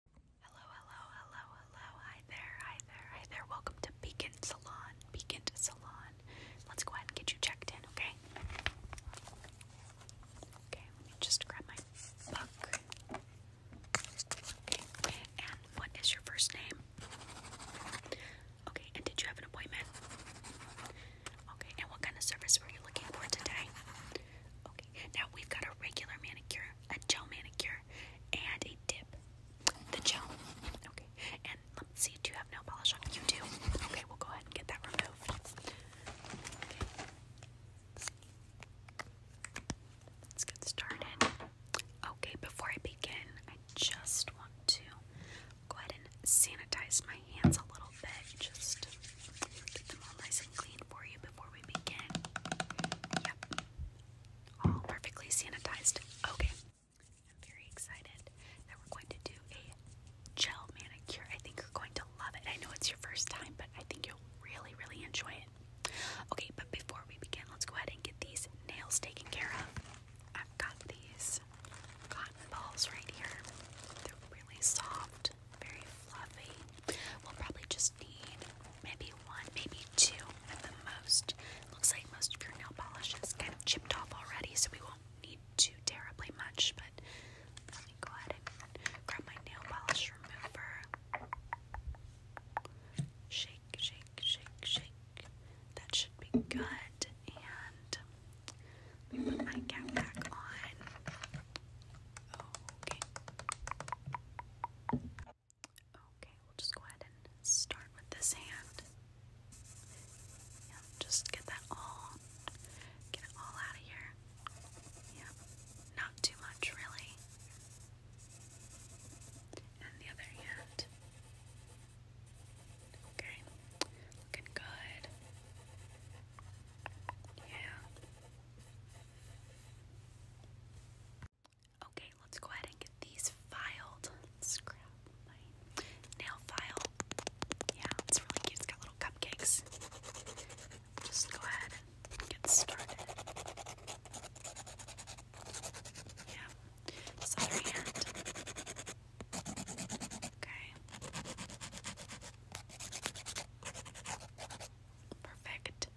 Hello, hello, hello, hello. Hi there, hi there, hi there. Welcome to Beacon Salon. Beacon Salon. Let's go ahead and get you checked in, okay? Okay, let me just grab my book. Okay, and what is your first name? Okay, and did you have an appointment? Okay, and what kind of service were you looking for today? now we've got a regular manicure, a gel manicure, and a dip. The gel. Okay, and let's see, do you have nail polish on? You do. Okay, we'll go ahead and get that removed. Okay. Let's get started. Okay, before I begin, I just want to go ahead and sanitize my hands a little bit. Just get them all nice and clean for you before we begin. Yep. All perfectly sanitized. Okay. I'm very excited that we're going to do a gel manicure. I think you're going to love it. I know it's your first time, but I think you'll really, really enjoy it. Okay, but before we begin, let's go ahead and get these nails taken care of. I've got these cotton balls right here. They're really soft very fluffy. We'll probably just need maybe one, maybe two at the most. Looks like most of your nail polishes is kind of chipped off already, so we won't need too terribly much. But let me go ahead and grab my nail polish remover. Shake, shake, shake, shake. That should be good. And let me put my cap back on okay. Okay, we'll just go ahead and start with this hand. Yep, just get that all, get it all out of here. Yep, not too much really. And the other hand. Okay, looking good. Yeah. Okay, let's go ahead and get these filed. let my nail file. Yeah, it's really cute. It's got little cupcakes. Just go ahead and get started. Yeah, this hand. Okay. Perfect.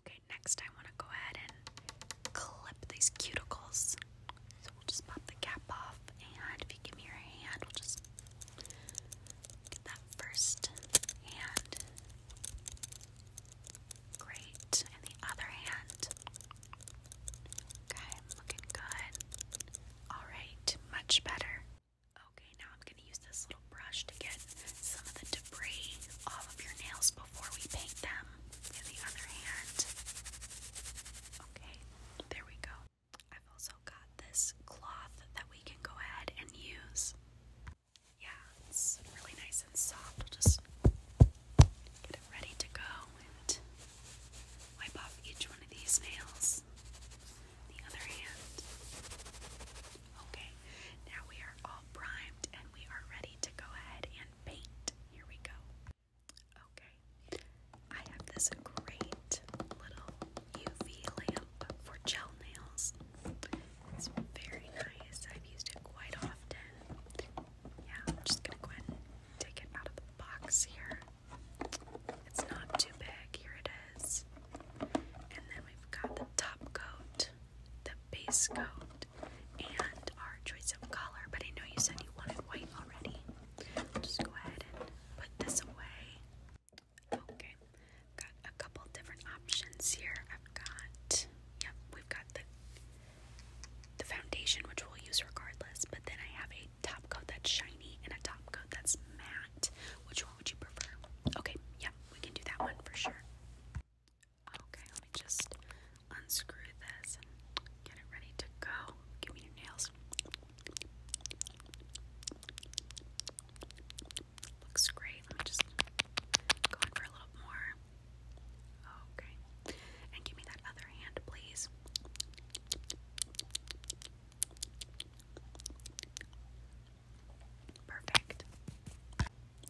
Okay, next I want to go ahead and clip these cuticles. So we'll just pop the cap off, and if you give me your hand, we'll just get that first hand. Great. And the other hand. Okay, looking good. Alright, much better. Okay, now I'm going to use this little brush to get some of the debris off of your nails before we paint them in the other hand. Okay, there we go. I've also got this cloth that we can go ahead and use. Yeah, it's really nice and soft. We'll just get it ready to go and wipe off each one of these nails the other hand. Okay, now we are all primed and we are ready to go ahead and paint. Here we go. Okay, I have this great little UV lamp for gel nails. It's very nice. I've used it quite often. Yeah, I'm just gonna go and take it out of the box here. It's not too big. Here it and then we've got the top coat, the base coat, and our choice of color. But I know you said you wanted white already. I'll just go ahead and put this away. Okay, got a couple different options here. I've got, yep, we've got the the foundation, which we'll use regardless. But then I have a top coat that's shiny and a top coat that's matte. Which one would you prefer? Okay, yeah, we can do that one for sure. Okay, let me just unscrew this and get it ready to go. Give me your nails. Looks great. Let me just go in for a little more. Okay. And give me that other hand, please. Perfect.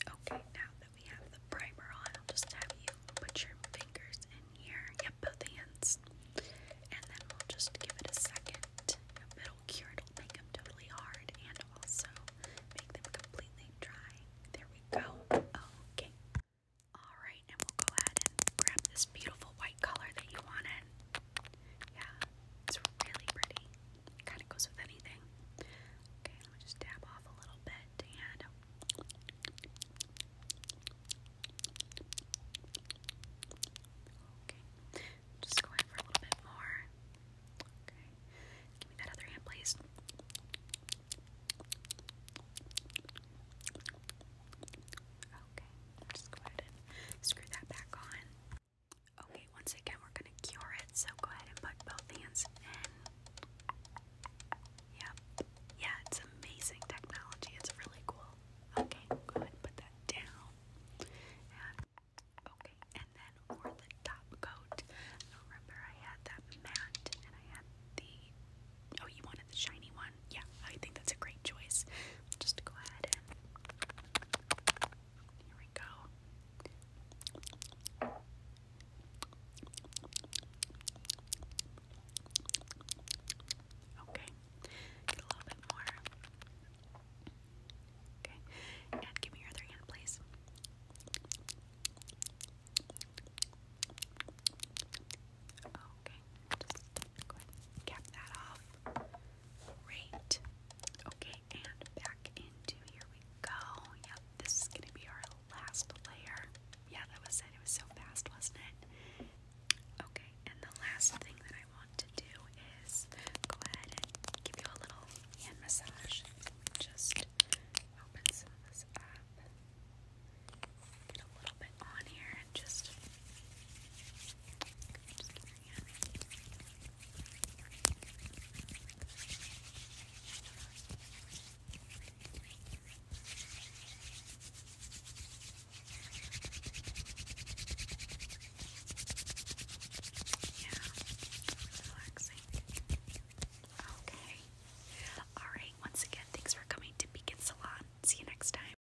Okay, now that we have the primer on, I'll just have you put your fingers in here. Yep, both hands. And then we'll just give it a second. it'll cure, it'll make them totally hard and also make them completely dry. There we go. Okay. Alright, and we'll go ahead and grab this beautiful white color that you wanted. Yeah, it's really pretty. kind of goes with anything. Okay, I'm just dab off a little bit Okay, just go for a little bit more. Okay, give me that other hand, please. Okay, just go ahead and screw that back on. Okay, once again, we're gonna cure it, so go ahead and put both hands in. Yep. Yeah, it's amazing technology, it's really cool. Okay, go ahead and put that down. okay, and then for the top coat, remember I had that matte and I had the. Oh, you wanted the shiny one? Yeah, I think that's a great choice. Just go ahead and. Here we go. Okay, get a little bit more. Okay, and give me your other hand, please. Okay, just go ahead cap that off. Great. Okay, and back into here we go. Yep, this is gonna be our last layer. Yeah, that was it. It was so fast, wasn't it? Okay, and the last thing that I want to do is go ahead and give you a little hand massage. just open some of this up. Get a little bit on here just, yeah, relaxing. Okay. Alright, once again, thanks for coming to Beacon Salon. See you next time.